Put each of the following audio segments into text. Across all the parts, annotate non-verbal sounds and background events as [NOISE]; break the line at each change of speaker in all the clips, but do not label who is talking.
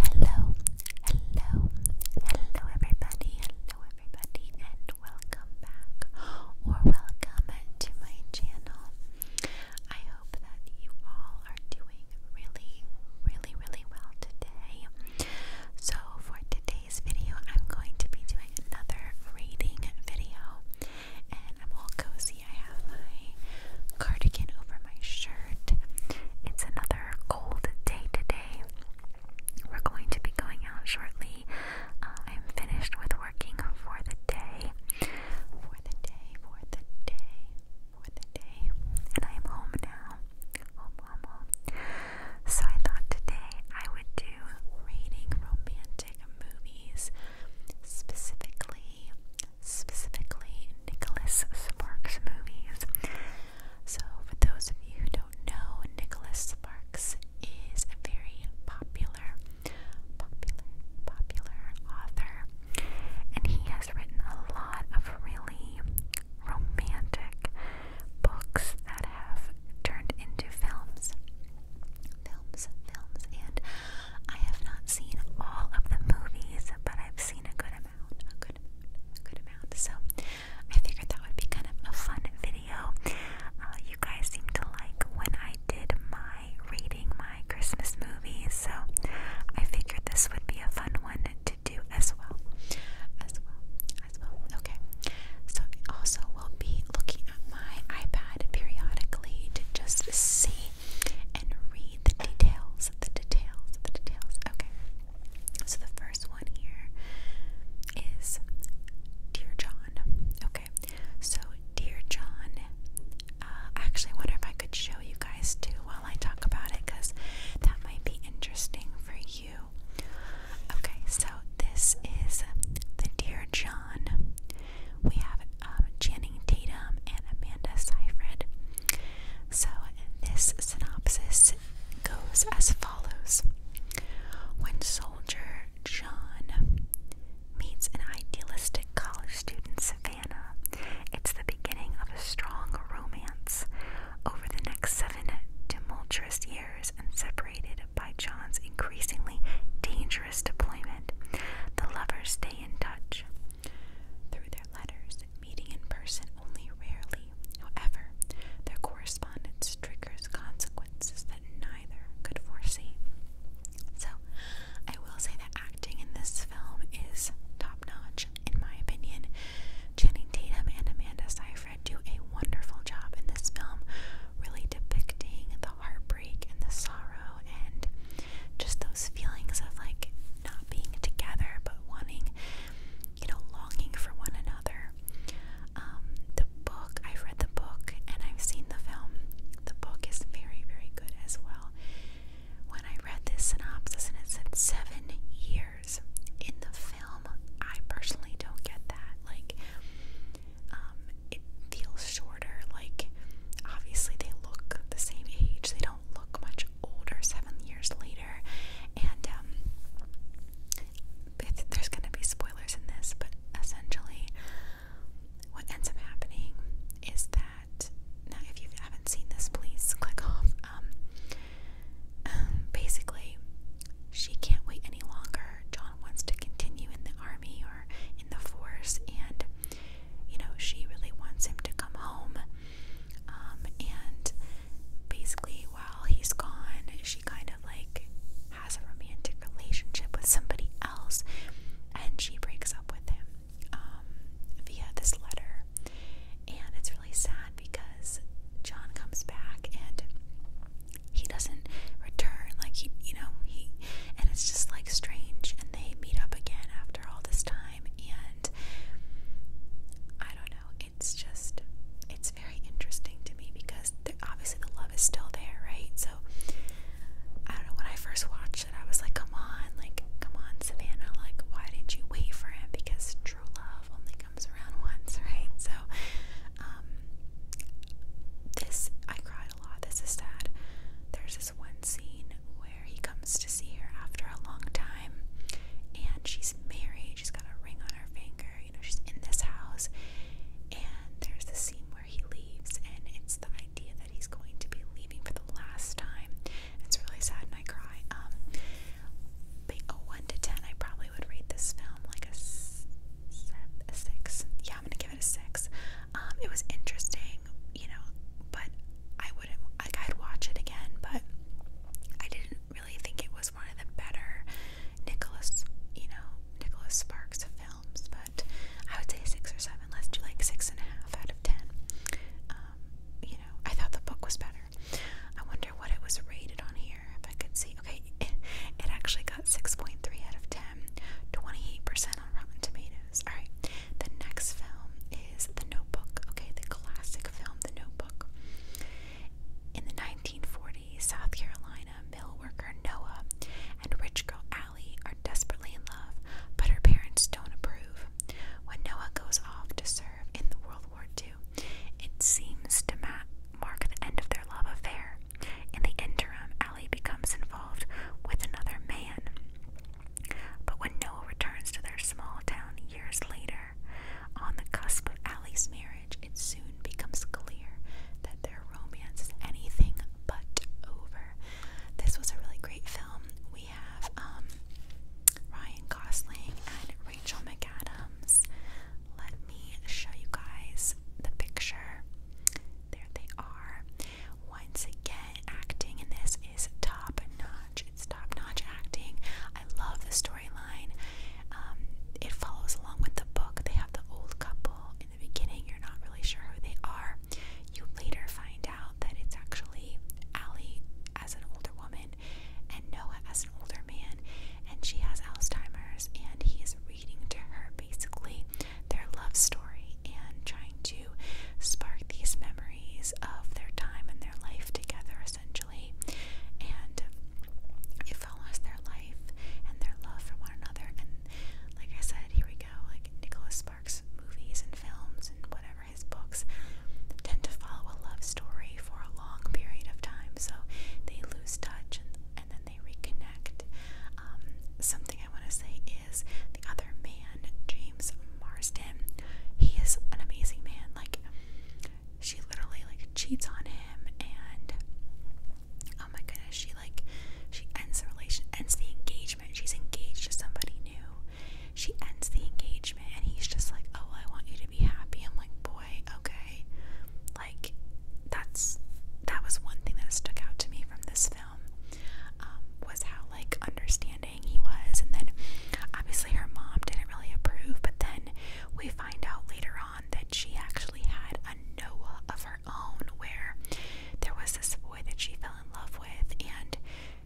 Hello, hello, hello everybody, hello everybody, and welcome back or welcome to my channel. I hope that you all are doing really, really, really well today. So, for today's video, I'm going to be doing another reading video, and I'm all cozy. I have my cardigan over my shirt. It's another rather cold day today. We're going to be going out shortly. Uh, I'm finished with working for the day. For the day, for the day, for the day. And I am home now. Home, home, home. So I thought today I would do rating romantic movies, specifically specifically Nicholas Sparks movies. So, for those of you who don't know, Nicholas Sparks is a very popular, popular, popular author, and he has written a lot of really romantic books that have turned into films. Films, films, and I have not seen all of the movies, but I've seen a good a good good amount. So I figured that would be kind of a fun video. Uh, you guys seem to like when I did my rating my Christmas movies, so I figured this would be a fun one to do as well. As well, as well. Okay. So I also will be looking at my iPad periodically to just see and read see the details, the details, the details. Okay. So the first one here is Dear John. Okay. So Dear John, uh, I actually wonder if I could show you guys too while I talk about it because that might be interesting for you. Okay, so this is the Dear John. We have um, Tatum and Amanda Seyfried. So, this synopsis goes as follows When soldier John meets an idealistic college student, Savannah, it's the beginning of a strong romance. Over the next seven tumultuous years, and separated by John's increasingly dangerous deployment, the lovers stay in touch. Through their letters, meeting in person only rarely. However, their correspondence triggers consequences that neither could foresee. So, I will say that acting in this film is top notch, in my opinion. Channing Tatum and Amanda Seyfried do a wonderful job in this film, really depicting the heartbreak and the sorrow and just those feelings of like being together but wanting, you know, longing for one another. Um, the book, I've read the book and I've seen the film. The book is very, very good as well. When I read this synopsis and it said seven years in the film, I personally don't get that. Like, um, it feels shorter. Like, obviously, they look the same age, they don't look much older seven years later, and um, there's going to be spoilers in this, but essentially, what ends up happening is that now, if you haven't seen this, please click off. Um, [CLEARS THROAT] basically, she can't wait any longer. John wants to continue in the army or in the force, and you know, she really wants him to come home. Um, and basically, while he's gone, she kind of like has a romantic relationship with somebody else and she breaks up with him um, via this letter. And it's really sad because John comes back and he doesn't return. Like, he, you know, he, and it's just like strange. And they meet up again after all this time and I don't know, it's just it's very interesting to me because obviously the love is still there, right? So I don't know, when I first watched it, I was like, come on, like, come on, Savannah, like, why didn't you wait for him? Because true love only comes around once, right? So, um, this, I cried a lot. This is sad. There's there's this one scene where he comes to see her after a long time, and she's married, she's got a ring on her finger, you know, she's in this house. And there's the scene where he leaves, and it's the idea that he's going to be leaving for the last time. It's really sad, and I cry. Um, but a one to ten, I probably would rate this film like a, a six. Yeah, I'm gonna give it a six. Um, it was interesting, you know, but I wouldn't like I'd watch it again, but I didn't really think it was one of the better Nicholas, you know, Nicholas Sparks films. But I would say six or seven. Let's do like six and a half out of ten. Um, you know, I thought the book was better. I wonder what it was rated on here. If I could see, okay, it, [LAUGHS] it actually got six point three out of ten, 28 percent on Rotten Tomatoes. Alright, the next film is The Notebook. Okay, the classic film, The Notebook. In the 1940s, South Carolina mill worker Noah and rich girl Allie are desperately in love, but her parents don't approve. When Noah goes off to serve in the World War II, it seems to mark the end of their love affair. In the interim, Allie becomes involved with another man. But when Noah returns to their small town years later, on the cusp of Allie's marriage, it soon becomes clear that their romance is anything but over. This was a really great film. We have um, Ryan Gosling and Rachel McAdams. Let me show you guys the picture. There they are. Once again, acting in this is top notch. It's top notch acting. I love the storyline. Um, it follows along with the book. They have the old couple in the beginning. You're not really sure who they are. You later find out that it's actually Allie as an older woman and Noah as an older man, and she has Alzheimer's, and he is reading to her basically their love story and trying to spark these memories of their time and their life together, essentially. And it follows their life and their love for one another. And like I said, here we go. Like Nicholas Sparks' movies and films and whatever his books tend to follow a love story for a long period of time. So they lose touch and, and then they reconnect. Um, something I want to say is the other man, James Marsden. He is an amazing man. Like she literally like cheats on him and oh my goodness, she like she ends the relation ends the engagement. She's engaged to somebody new. She ends the engagement and he's just like, Oh, I want you to be happy. I'm like, boy, okay. Like that's that was one thing that stuck out to me from this film um, was how like understanding he was. And then obviously her mom didn't really approve, but then we find out later on that she actually had a Noah of her own where there was this boy that she fell in love with and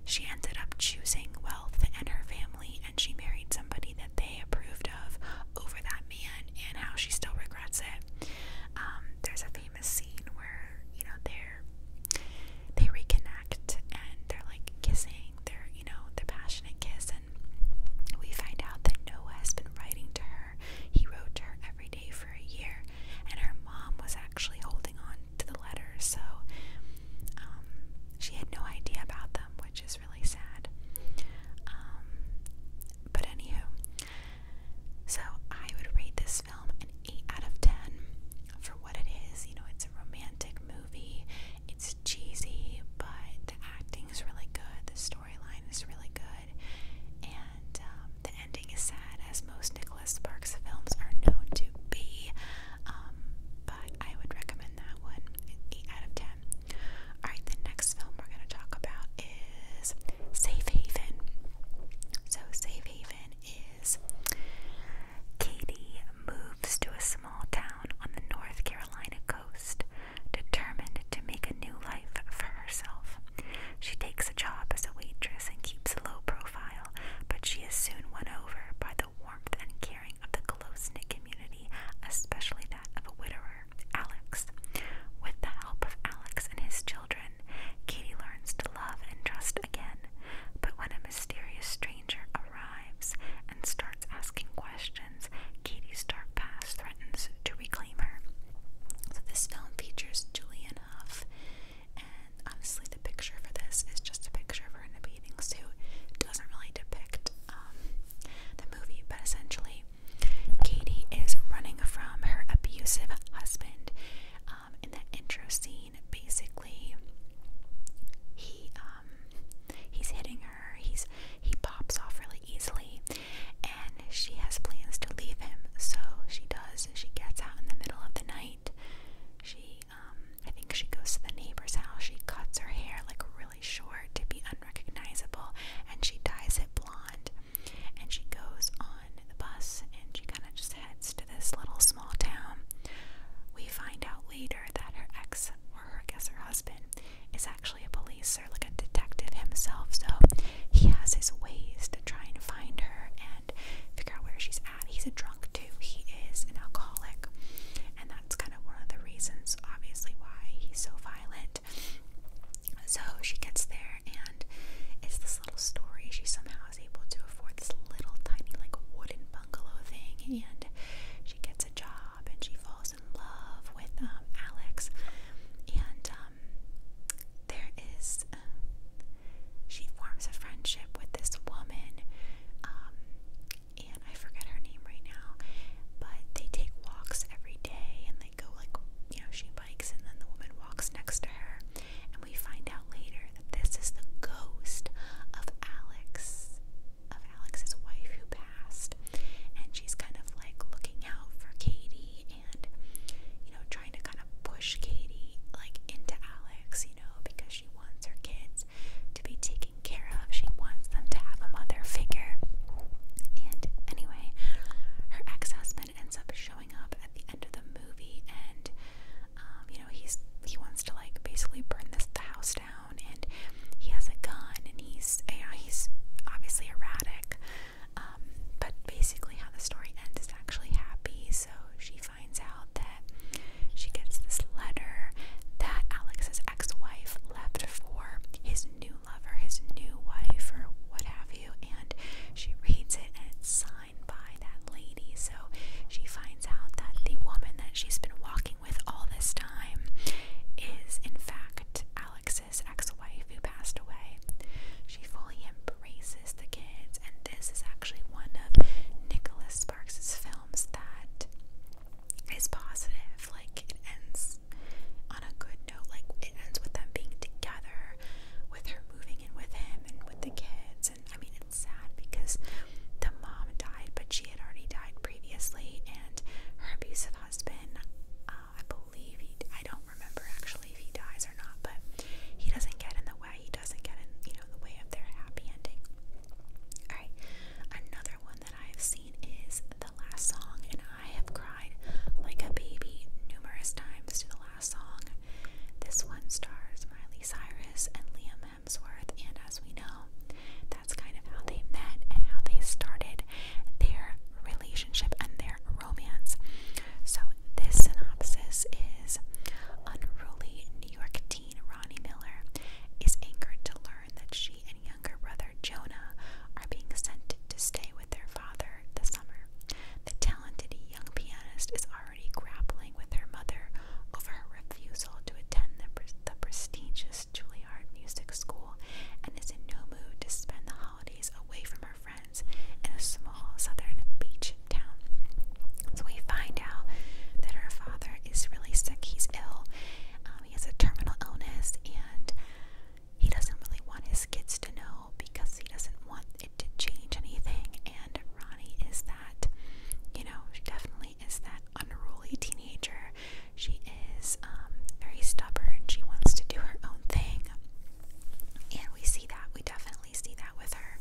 she ended up choosing wealth and her family and she married somebody that they approved of over that man and how she still regrets it. Um, there's a famous famous scene where you know they're they reconnect and they're like kissing, they're you know their passionate kiss, and we find out that Noah has been writing to her. He wrote to her every day for a year, and her mom was actually holding on to the letters, so um, she had no idea about them, which is really sad. Um, but anywho. So I would rate this film an 8 out of 10 for what it is. You know, it's a romantic movie, it's cheesy, but the acting is really good, the storyline is really good, and um, the ending is sad, as most Nicholas Sparks films are known to be. Um, but I would recommend that one, 8 out of 10. Alright, the next film we're going to talk about is Safe Haven. So, Safe Haven is Katie moves to a small town on the North Carolina coast, determined to make a new life for herself. She takes a job as a waitress and keeps a low profile, but she is soon won over by the warmth and caring of the close knit community, especially that of a widower, Alex. With the help of Alex and his children, Katie learns to love and trust again. But when a mysterious stranger arrives and starts asking questions, Katie's dark past threatens to reclaim her. So, this film features Julian Huff, and honestly, the picture for this is just a picture of her in a bathing suit. doesn't really depict um, the movie, but essentially, Katie is running from her abusive husband. Um, in the intro scene, basically, he um, he's hitting her. He's he pops off really easily, and she has plans to leave him. So she does. She gets out in the middle of the night. She um, I think she goes to the neighbor's house. She cuts her hair like really short to be unrecognizable, and she dyes it blonde. And she goes on the bus and she kind of just heads to this little small town. We find out later that her ex, or I guess her husband, is actually a police or like a detective himself. So he has his ways to try and find her and figure out where she's at. He's a drunk too, he is an alcoholic. And that's kind of one of the reasons, obviously, why he's so violent. So she gets there, and it's this little story. She somehow I was able to afford this little tiny like wooden bungalow thing and she gets a job and she falls in love with um, Alex and um, there is uh, she forms a friendship with this woman um, and I forget her name right now but they take walks every day and they go like you know she bikes and then the woman walks next to her and we find out later that this is the ghost of Alex, of Alex's wife who passed, and she's kind of like looking out for Katie and you know trying to kind of push Katie like into Alex, you know, because she wants her kids to be taken care of. She wants them to have a mother figure. And anyway, her ex-husband ends up showing up at the end of the movie, and um, you know he's he wants to like basically burn this the house down, and he has a gun, and he's you know he's obviously erratic, um, but basically how the story ends is actually happy. So she finds out that she gets this letter that Alex's ex-wife left for his new lover, his new wife, or what have you, and she reads it and it's signed by that lady. So she finds out that the woman that she's been walking with all this time is, in fact, Alex's ex wife who passed away. She fully embraces the kids, and this is actually one of Nicholas Sparks's films that is positive. Like, it ends on a good note, like, it ends with them being together with her moving in with him and with the kids. And I mean, it's sad because the mom died, but she had already died previously, and her abusive husband, uh, I believe he, I don't remember actually if he dies or not, but he doesn't get in the way. He doesn't get in, you know, the way of their happy ending. All right, another one that I have seen is the last song, and I have cried like a baby numerous times to the last last song. This one stars Miley Cyrus and Liam Hemsworth, and as we know, that's kind of how they met and how they started their relationship and their romance. So, this synopsis is unruly New York teen Ronnie Miller is angered to learn that she and younger brother Jonah are being sent to stay with their father this summer. The talented young pianist is already grappling with her mother over her refusal to attend the, prestigious Juilliard Music School and is in no mood to spend the holidays away from her friends in a small southern beach town. So we find out that her father is really sick, he's ill, um, he has a terminal illness, and he doesn't really want his kids to know because he doesn't want it to change anything. And Ronnie is that, you know, she definitely is that unruly teenager. She is um, very stubborn. and She wants to do her own thing. And we see that. We definitely see that with her.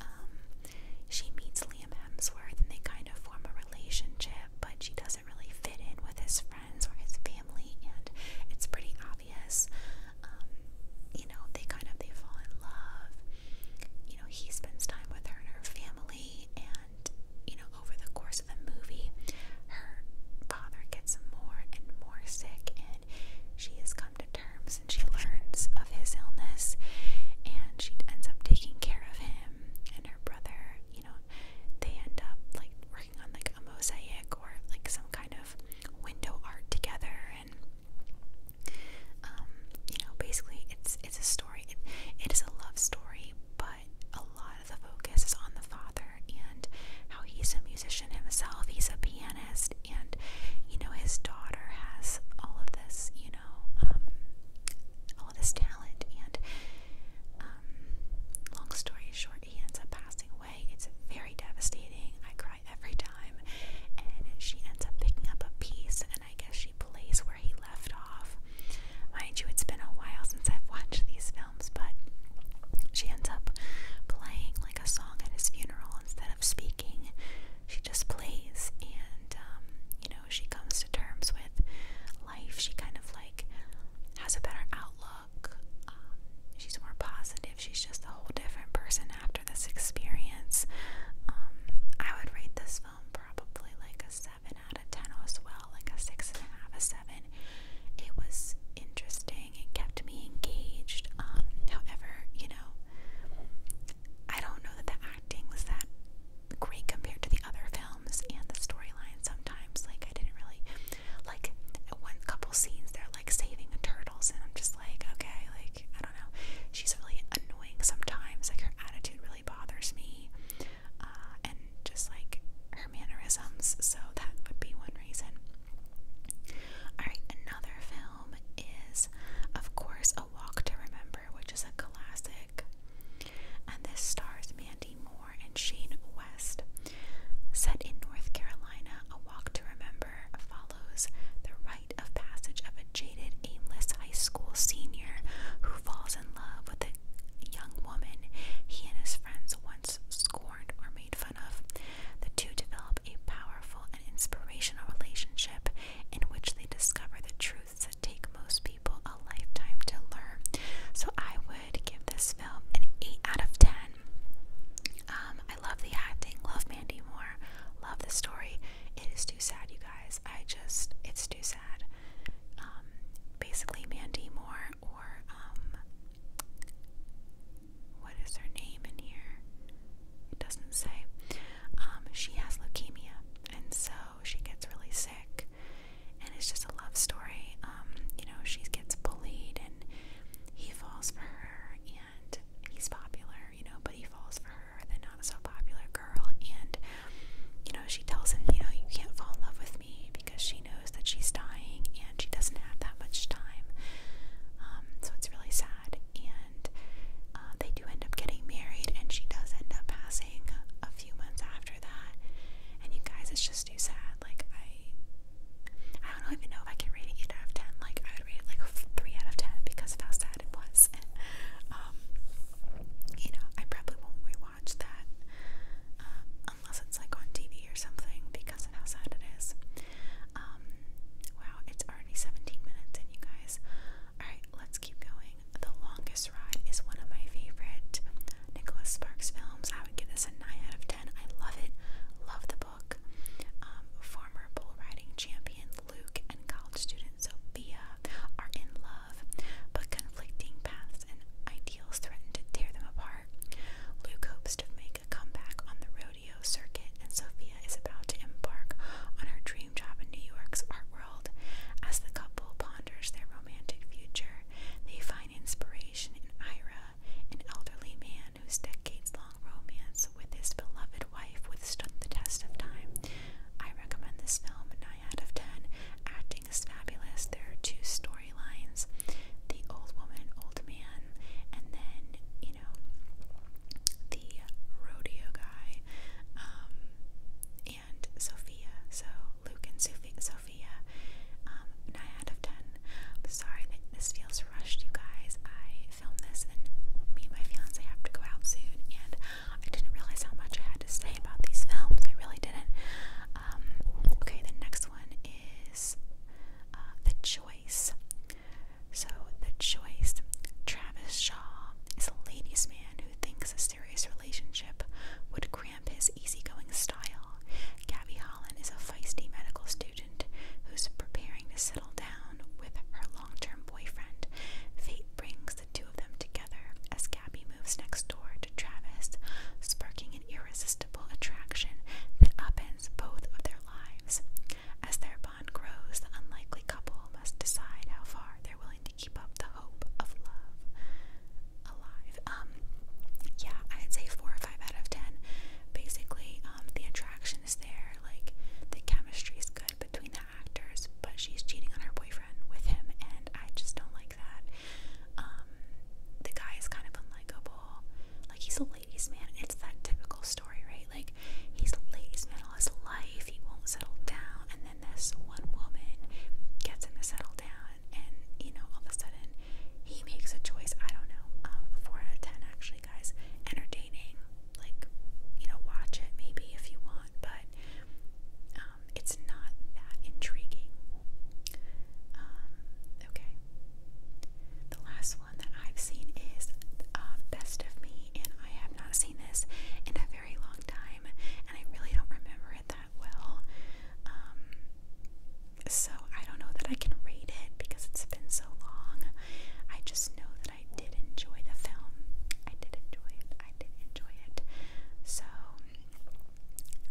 Um, she meets Liam Hemsworth and they kind of form a relationship, but she doesn't really fit in with his friends or his family. And it's pretty obvious obvious. Um, you know, they kind of they fall in love. You know, he spends time with her and her family, and you know, over the course of the movie, her father gets more and more sick, and she has come to terms and she learns of his illness, and she ends up taking care of him and her brother. You know, they end up like working on the like a mosaic or like some kind of window art together and um, you know basically it's it's a story it, it is a love story but a lot of the focus is on the father and how he's a musician himself he's a pianist and you know his daughter has all of this you know um, all of this talent and um, long story short he ends up passing away. It's very devastating. I cry every time. And she ends up picking up a piece, and I guess she plays where he left off. Mind you, it's been a while since I've watched these films, but she ends up playing like a song at his funeral instead of speaking. She just plays, and um, you know, she comes to terms with life. She kind of like has a better outlook uh, she's more positive. She's just a whole different person after this experience. Um, I would rate this film probably like a 7 out of 10 as well, like a 6.5, a 7. It was interesting. It kept me engaged. Um, however, you know, I don't know that the acting was that great compared to the other films and the storyline sometimes. Like, I didn't really like one couple scenes they're like saving the turtles and I'm just like, okay, like I don't know. She's really annoying sometimes. Like her attitude really bothers me. Uh, and just like her mannerisms, so that would be one reason. Alright, another film is of course A Walk to Remember, which is a classic. And this stars Mandy Moore and Shane West. Set in North Carolina, A Walk to Remember follows the rite of passage of a jaded, aimless high school senior who falls in love with a young woman he and his friends once scorned or made fun of. The two develop a powerful and inspirational relationship in which they discover the truths that take most people a lifetime to learn. So I would give this film an 8 out of 10. Um, I love the acting, love Mandy Moore, love the story. It is too sad, you guys. I just, it's too sad. Um, basically, Mandy Moore, or um, what is her name in here? It doesn't say. she has leukemia, and so she gets really sick, and it's just a love story. you know, she gets bullied, and he falls for her and he's popular, you know, but he falls for her, the not so popular girl, and you know, she tells him, you know, you can't fall in love with me because she knows that she's dying and she doesn't have that much time. Um, so it's really sad. And uh, they do end up getting married, and she does end up passing a few months after that. And you guys, it's just too sad. Like, I I don't even know if I can rate it 8 out of 10. Like, I would rate it like 3 out of 10 because of how sad it was. [LAUGHS] um, you know, I probably won't rewatch that um, unless it's like on TV or something because of how sad it is. Um, wow, it's already 17 minutes in, you guys. Alright, let's keep going. The Longest Ride is one of my favorite Nicholas Sparks films. I would give this a 9 out of 10. I love it. Love the book. Um, former bull riding champion Luke and college student Sophia are in love, but conflicting paths and ideals threaten to tear them apart. Luke hopes to make a comeback on the rodeo circuit, and Sophia is about to embark on her dream job in New York's art world. As the couple ponders their romantic future, they find inspiration in Ira, an elderly man whose decades long romance with his beloved wife withstood the test of time. I recommend this film 9 out of 10. Acting is fabulous. There are two storylines the old woman, old man, and then, you know, the rodeo guy um, and Sophia. So Luke and Sophia um, 9 out of 10. sorry that this feels rushed, you guys. I filmed this and me and my fiance have to go out soon, and I didn't realize how much I had to say about these films. I really didn't. Um, okay, the next one is uh, The Choice. So, The Choice. Travis Shaw is a ladies' man who thinks a serious relationship would create cramp his easygoing style. Gabby Holland is a feisty medical student who's preparing to settle down with her long term boyfriend. Fate brings the two of them together as Gabby moves next door to Travis, sparking an irresistible attraction that upends both of their lives. As their bond grows, the unlikely couple must decide how far they're willing to keep up the hope of love alive. Um, yeah, I'd say four or five out of ten. Basically, um, the attraction is there, like the chemistry is good between the actors, but she's cheating on her boyfriend with him, and I just don't like that. Um, the guy is kind of unlikable. Like he's a ladies' man. It's that typical story, right? Like he's a ladies' man all his life. He won't settle down, and then this one woman gets him to settle down, and you know, all of a sudden, he makes a choice. I don't know. Um, four out of ten, actually, guys. Entertaining. Like, you know, watch it maybe if you want, but um, it's not that intriguing. Um, okay. The last one that I've seen is Best of Me, and I have not seen this in a very long time, and I really don't remember it well. Um, so I don't know that I can rate it because it's been so long. I just know that I did enjoy the film. I did enjoy it. I did enjoy it. So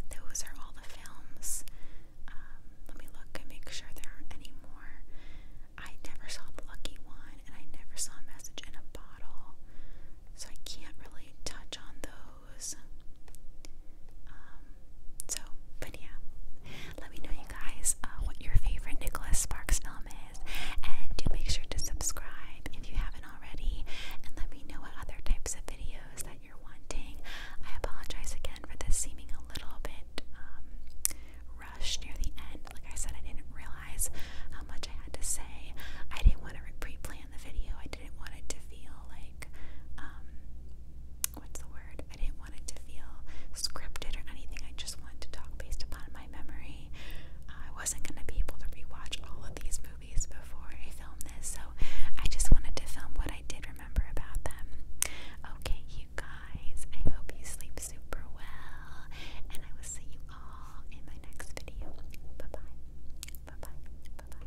those are all the films. Um, let me look and make sure there aren't any more. I never saw The Lucky One and I never saw Message in a Bottle. So I can't really touch on those. Um, so, but yeah, let me know you guys uh, what your favorite Nicholas Sparks film is, and do make sure to subscribe if you haven't already, and let me know what other types of videos that you're wanting. I apologize again for this seeming a little bit um, rushed near the end. Like I said, I didn't realize how much I had to say. I didn't want to replay plan the video. I didn't want it to feel like, um, what's the word? I didn't want it to feel scripted or anything. I just wanted to talk based upon my memory. I wasn't going to be able to rewatch all of these movies before I filmed this, so I just wanted to film what I did remember about them. Okay, you guys, I hope you sleep super well, and I will see you all in my next video. Bye bye. Bye bye. Bye bye.